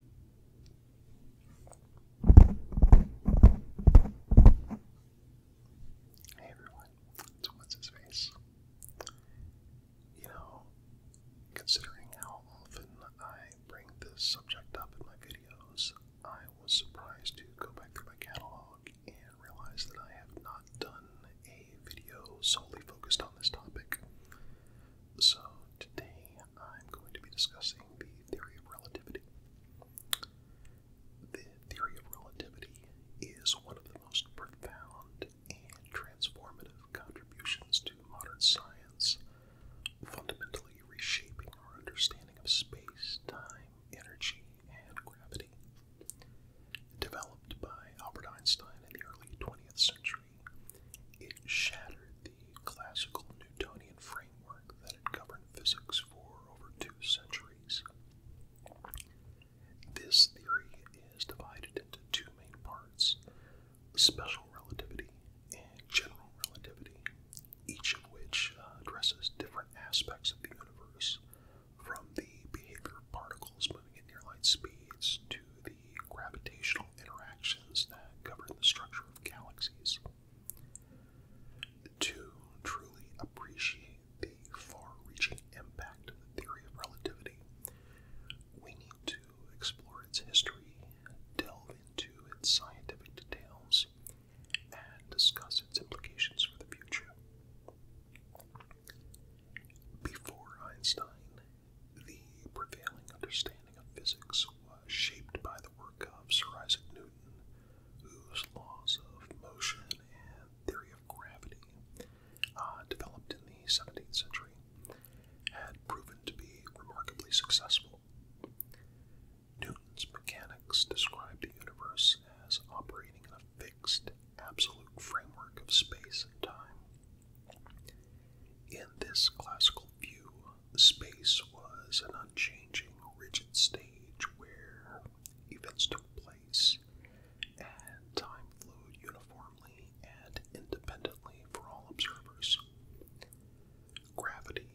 Hey everyone, it's What's His Face. You know, considering how often I bring this subject up in my videos, I was surprised to go back through my catalog and realize that I have not done a video solely focused on this topic. So, today I'm going to be discussing the theory of relativity. The theory of relativity is one of the most profound and transformative contributions to modern science, fundamentally reshaping our understanding of space, time, energy, and gravity. Developed by Albert Einstein in the early 20th century, it shattered the classical Newtonian framework that had governed physics for over two centuries. This theory is divided into two main parts special relativity and general relativity, each of which uh, addresses different aspects of the universe, from the behavior of particles moving at near light speeds to the the gravitational interactions that govern the structure of galaxies. To truly appreciate the far reaching impact of the theory of relativity, we need to explore its history, delve into its scientific details, and discuss its implications for the future. Before Einstein, the prevailing understanding of physics was shaped by the work of Sir Isaac Newton, whose laws of motion and theory of gravity, uh, developed in the 17th century, had proven to be remarkably successful. Newton's mechanics described the universe as operating in a fixed, absolute framework of space and time, in this classical view, space was an unchanging, rigid stage where events took place and time flowed uniformly and independently for all observers. Gravity,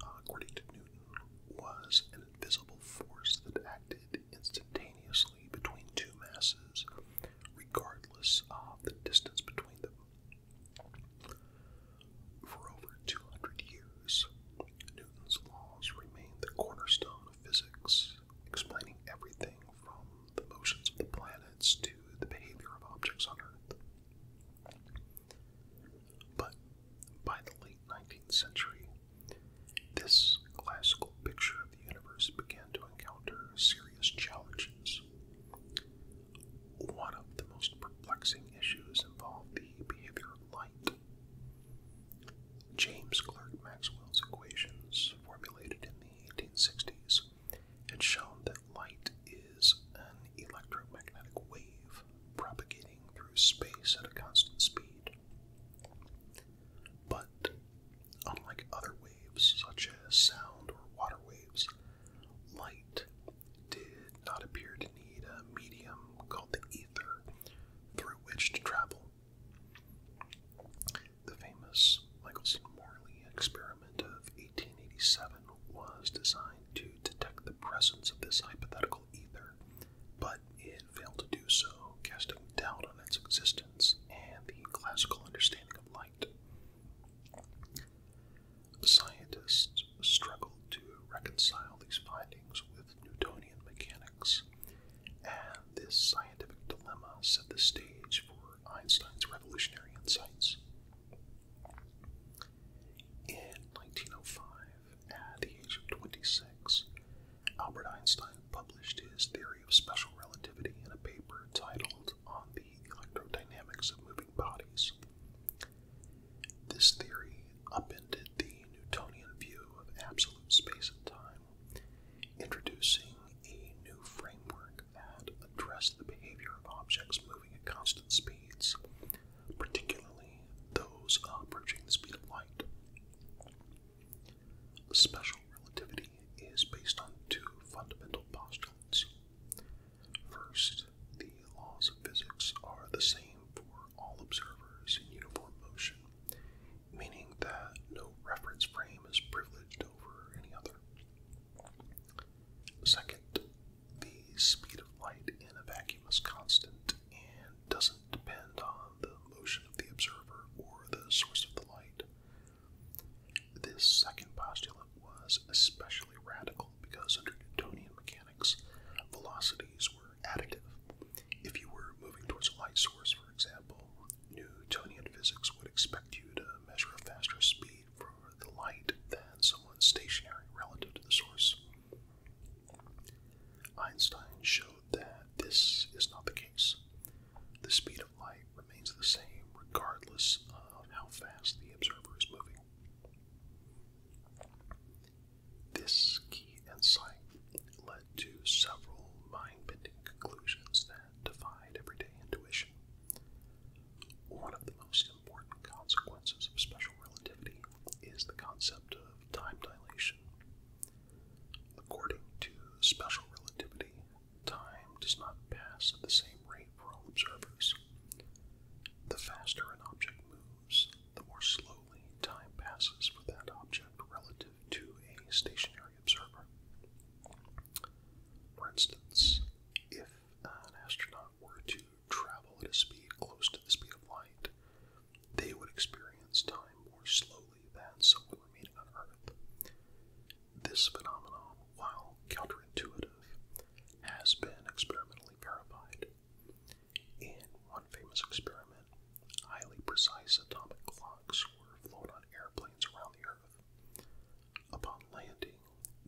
according to Newton, was an invisible force that acted instantaneously between two masses, regardless of the distance between them. For over 200 years, Newton's laws remained the cornerstone of physics, explaining everything from the motions of the planets to the behavior of objects on Earth. But by the late 19th century, this classical picture the universe began to encounter serious challenges. One of the most perplexing issues involved the behavior of light. James Clerk Maxwell's equations, formulated in the 1860s, had shown that light is an electromagnetic wave propagating through space at a constant speed. But Unlike other waves, such as sound or water waves, light did not appear to need a medium called the ether through which to travel. The famous Michelson Morley experiment of 1887 was designed to detect the presence of this hypothetical ether, but it failed to do so, casting doubt on its existence and the classical understanding of light. Scientists struggled to reconcile these findings with Newtonian mechanics, and this scientific dilemma set the stage for Einstein's revolutionary insights. In 1905, at the age of 26, Albert Einstein published his theory of special relativity in a paper titled on the electrodynamics of moving bodies. This theory upended the Newtonian view of absolute space and time, introducing a new framework that addressed the behavior of objects moving at constant speeds, particularly those approaching the speed of light. Special relativity is based on two fundamental postulates. First, the laws of physics are the same for all observers in uniform motion, meaning that no reference frame is privileged over any other. Second, the speed of light in a vacuum is constant and doesn't depend on the motion of the observer or the source of the light, this second postulate was especially radical because under Newtonian mechanics, velocities were additive. If you were moving towards a light source, for example, Newtonian physics would expect you to measure a faster speed for the light than someone stationary relative to the source. Einstein showed that this is not the case. The speed of light remains the same regardless of how fast the observer is moving. This key insight led to several mind bending conclusions that defied everyday intuition. One of the most important consequences of special relativity is the concept of time dilation. According to special relativity, time does not pass at the same rate for all observers. The faster an object moves, the more slowly time passes for that object relative to a stationary observer. For instance, if an astronaut were to travel at a speed close to the speed of light, they would experience time more slowly believe so we were on Earth. This phenomenon, while counterintuitive, has been experimentally verified. In one famous experiment, highly precise atomic clocks were flown on airplanes around the Earth. Upon landing,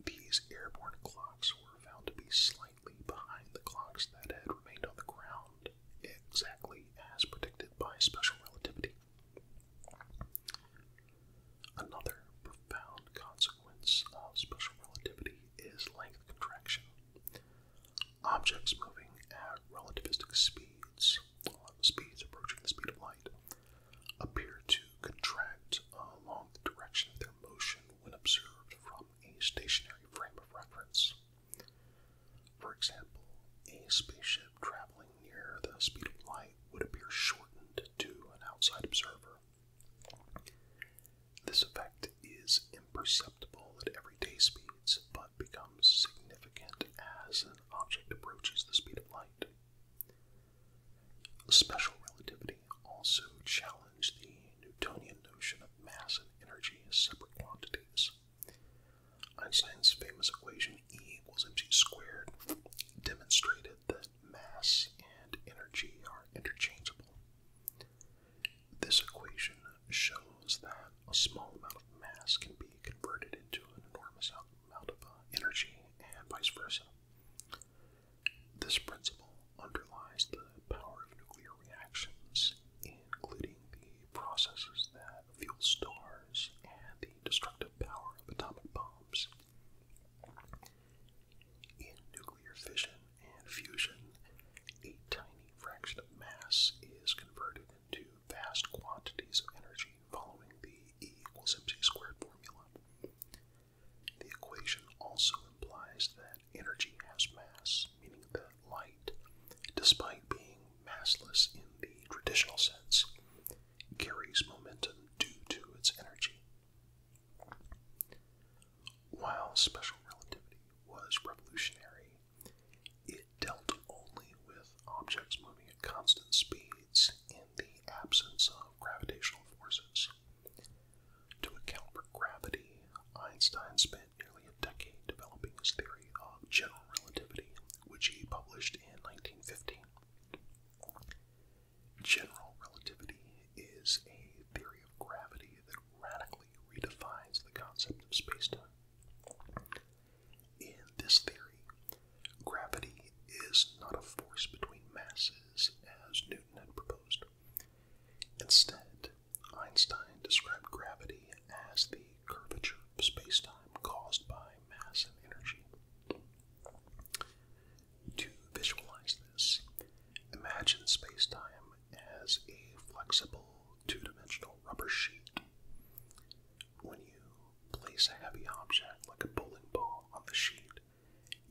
these airborne clocks were found to be slightly behind the clocks that had remained on the ground, exactly as predicted by special relativity. Another profound consequence of special relativity is length contraction. Objects moving at relativistic speeds, speeds approaching the speed of light, appear to contract along the direction of their motion when observed from a stationary frame of reference. For example, a spaceship traveling near the speed of light would appear shortened to an outside observer. This effect is imperceptible at everyday speeds, but becomes significant as an object approaches the speed of light. Special relativity also challenged the Newtonian notion of mass and energy as separate quantities. Einstein's famous equation E equals mc squared demonstrated that mass and energy are interchangeable. This equation shows that a small amount of mass can be converted into an enormous amount of uh, energy and vice versa. This principle underlies the power of nuclear reactions, including the processes that fuel stars and the destructive power of atomic bombs. In nuclear fission and fusion, a tiny fraction of mass is converted into vast quantities of energy following the E equals mc squared formula. The equation also implies that energy has mass, meaning that light, despite being massless in the traditional sense, carries momentum due to its energy. While special relativity was revolutionary, it dealt only with objects moving at constant speeds in the absence of gravitational forces. To account for gravity, Einstein spent nearly a decade developing his theory of general relativity, which he published in 1915. General relativity is a theory of gravity that radically redefines the concept of spacetime. In this theory, gravity is not a force between masses as Newton had proposed. Instead, Einstein described gravity as the curvature of space-time caused by mass and energy. To visualize this, imagine spacetime as a flexible two dimensional rubber sheet. When you place a heavy object like a bowling ball on the sheet,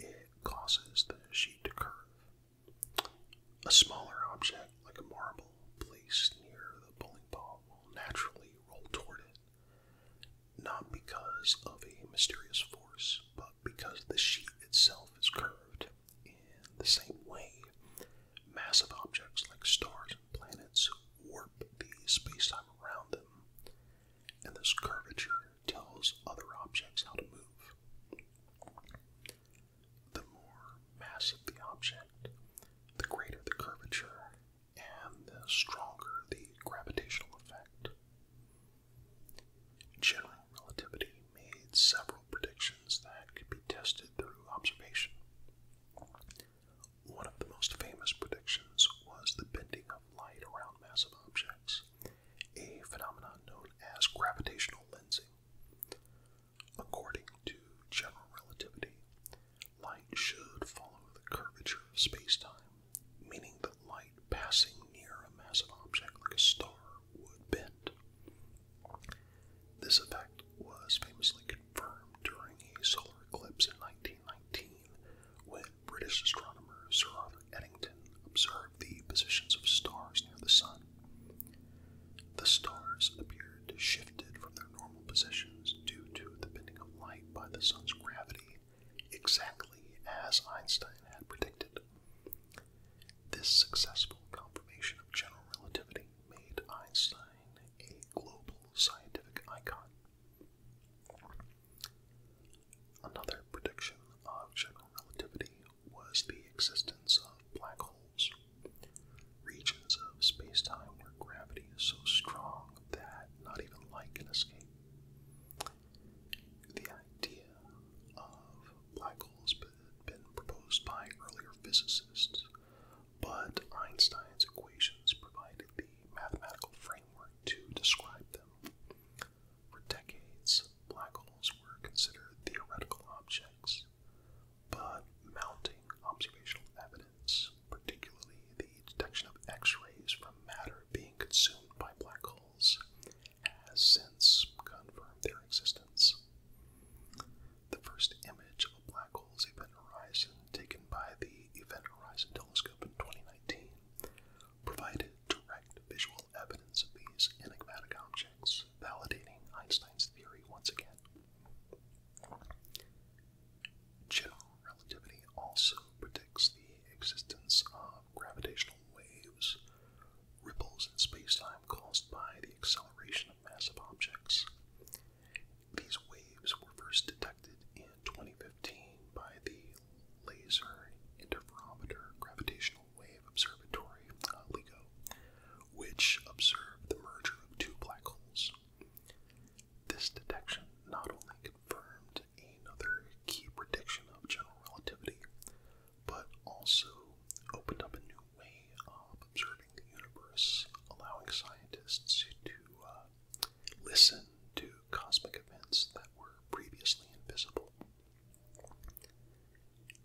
it causes the sheet to curve. A smaller object, like a marble placed near the bowling ball, will naturally roll toward it, not because of a mysterious force, but because the sheet itself is curved. In the same way, massive objects like stars and planets warp the spacetime around them, and this curvature tells other objects how to move the more mass of the object, the greater the curvature, and the stronger the gravitational effect. General relativity made several predictions that could be tested through observation. One of the most famous predictions was the bending of light around massive objects, a phenomenon known as gravitational lensing. According to general relativity, light should follow the curvature of space-time, meaning that light passing near a massive object like a star would bend. This effect was famously confirmed during a solar eclipse in 1919 when British astronomer Sir Arthur Eddington observed the positions of stars near the sun. The stars appeared shifted from their normal positions due to the bending of light by the sun's gravity, exactly as Einstein had predicted. This successful confirmation of general relativity made Einstein a global scientific icon. Another prediction of general relativity was the existence of black holes regions of space-time where gravity is so strong that not even light can escape. The idea of black holes had been proposed by earlier physicists, but Einstein's equations provided the mathematical framework to describe them. For decades, black holes were considered theoretical objects, but mounting observational evidence, particularly the detection of X rays from matter being consumed by black holes, has since confirmed their existence. The first image of a black hole's event horizon taken by the Event Horizon Telescope in 2019 provided direct visual evidence of these enigmatic objects validating Einstein's theory once again. General relativity also predicts the existence of gravitational waves, ripples in spacetime caused by the acceleration of massive objects. These waves were first detected in 2015 by the Laser Interferometer Gravitational Wave Observatory, uh, LIGO, which observed the merger of two black holes. This detection not only confirmed another key prediction of general relativity, but also opened up a new way of observing the universe, allowing scientists to uh, listen to cosmic events that were previously invisible.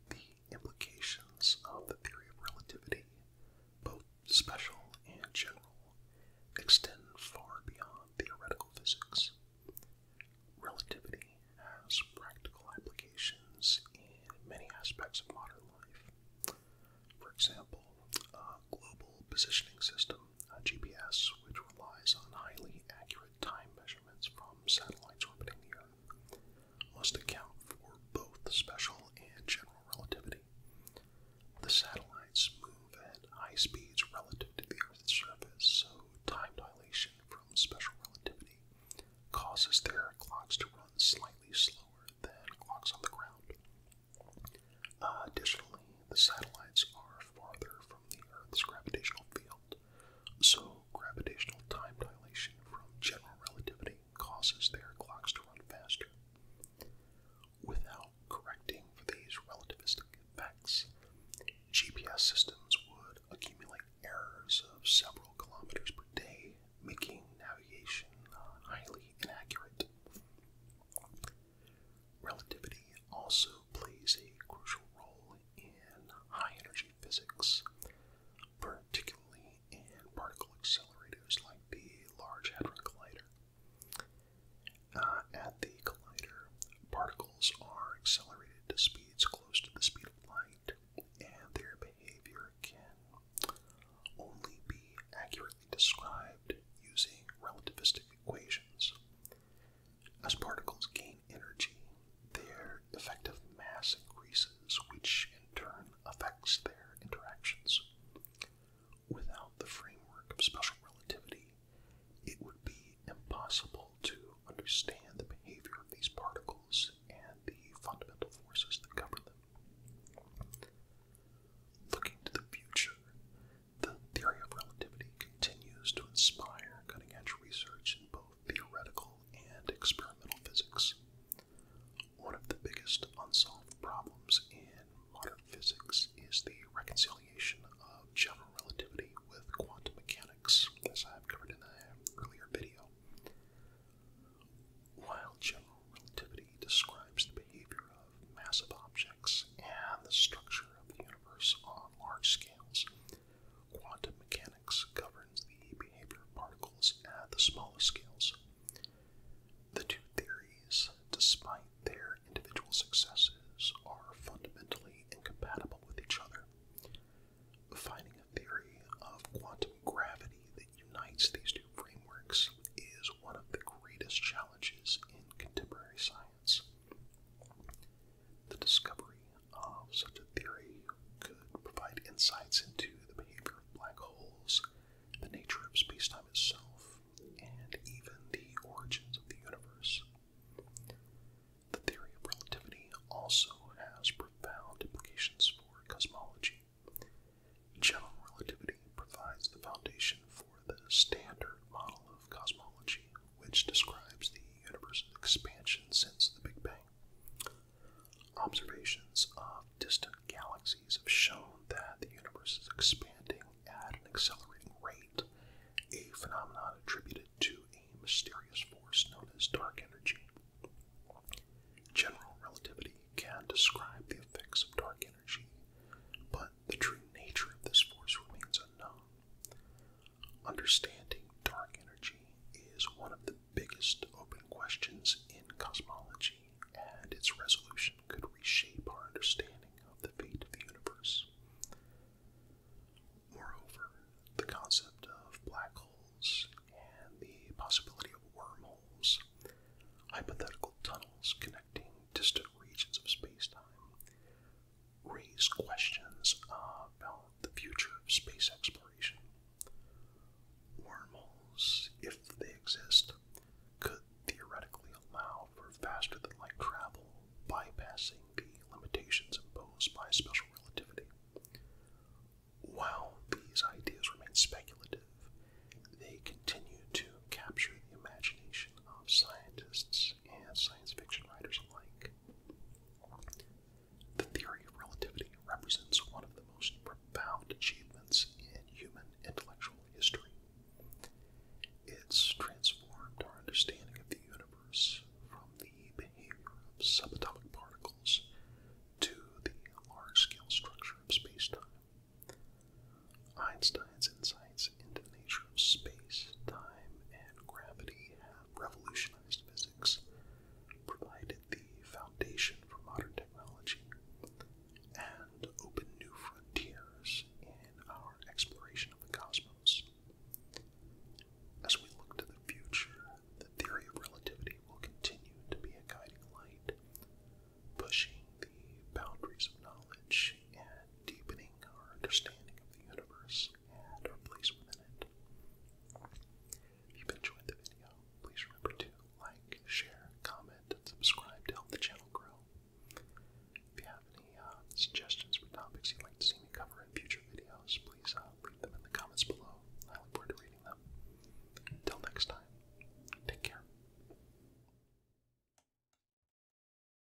The implications of the theory of relativity, both special and general, extend far beyond theoretical physics. Relativity has practical applications in many aspects of modern life. For example, a global positioning system, GPS, which relies on highly accurate time measurements from satellites orbiting the Earth must account for both special and general relativity. The satellites move at high speeds relative to the Earth's surface, so time dilation from special relativity causes their clocks to run slightly slower than clocks on the ground. additionally, the satellites are farther from the Earth's gravitational field so, gravitational time dilation from general relativity causes their clocks to run faster. Without correcting for these relativistic effects, GPS systems would accumulate errors of several kilometers per day, making navigation highly inaccurate. Relativity also plays a crucial role in high energy physics, particularly in particle accelerators like the Large Hadron Collider. Uh, at the collider, particles are accelerated to speeds close to the speed of light, and their behavior can only be accurately described using relativistic equations. As particles gain energy, their effective mass increases, which in turn affects their interactions. Without the framework of special relativity, it would be impossible to understand the behavior of these particles and the fundamental forces that govern them. Looking to the future, the theory of relativity continues to inspire cutting edge research in both theoretical and experimental physics. One of the biggest unsolved problems in modern physics is the reconciliation of general relativity with quantum mechanics, as I've covered in an earlier video. While general relativity describes the behavior of massive objects and the structure of the universe on large scales, quantum mechanics governs the behavior of particles at the smallest scales. The two theories, despite their individual successes, are fundamentally incompatible with each other. Finding a theory of quantum gravity that unites these two frameworks is one of the greatest challenges in contemporary science. The discovery of such a theory could provide insights into the behavior of black holes, the nature of spacetime itself, and even the origins of the universe. The theory of relativity also has profound implications for cosmology. General relativity provides the foundation for the standard model of cosmology, which describes the universe's expansion since the Big Bang. Observations of distant galaxies have shown that the universe is expanding at an accelerating rate, a phenomenon attributed to a mysterious force known as dark energy. General relativity can describe the effects of dark energy, but the true nature of this force remains unknown. Understanding dark energy is one of the biggest open questions in cosmology, and its resolution could reshape our understanding of the fate of the universe. Moreover, the concept of black holes and the possibility of wormholes, hypothetical tunnels connecting distant regions of space time, raise questions about the future of space exploration. Wormholes, if they exist, could theoretically allow for faster than light travel, bypassing the limitations imposed by special relativity. While these ideas remain speculative, they continue to capture the imagination of scientists and science fiction writers alike. The theory of relativity represents one of the most profound achievements in human intellectual history. It's transformed our understanding of the universe from the behavior of subatomic particles to the large scale structure of space time. Einstein's insights advances in the nature of space, time, and gravity have revolutionized physics, provided the foundation for modern technology, and opened new frontiers in our exploration of the cosmos. As we look to the future, the theory of relativity will continue to be a guiding light, pushing the boundaries of knowledge and deepening our understanding of the universe and our place within it. If you've enjoyed the video, please remember to like, share, comment, and subscribe to help the channel grow. If you have any uh, suggestions for topics you'd like to see me cover in future videos, please uh, them in the comments below. I look forward to reading them. Until next time, take care.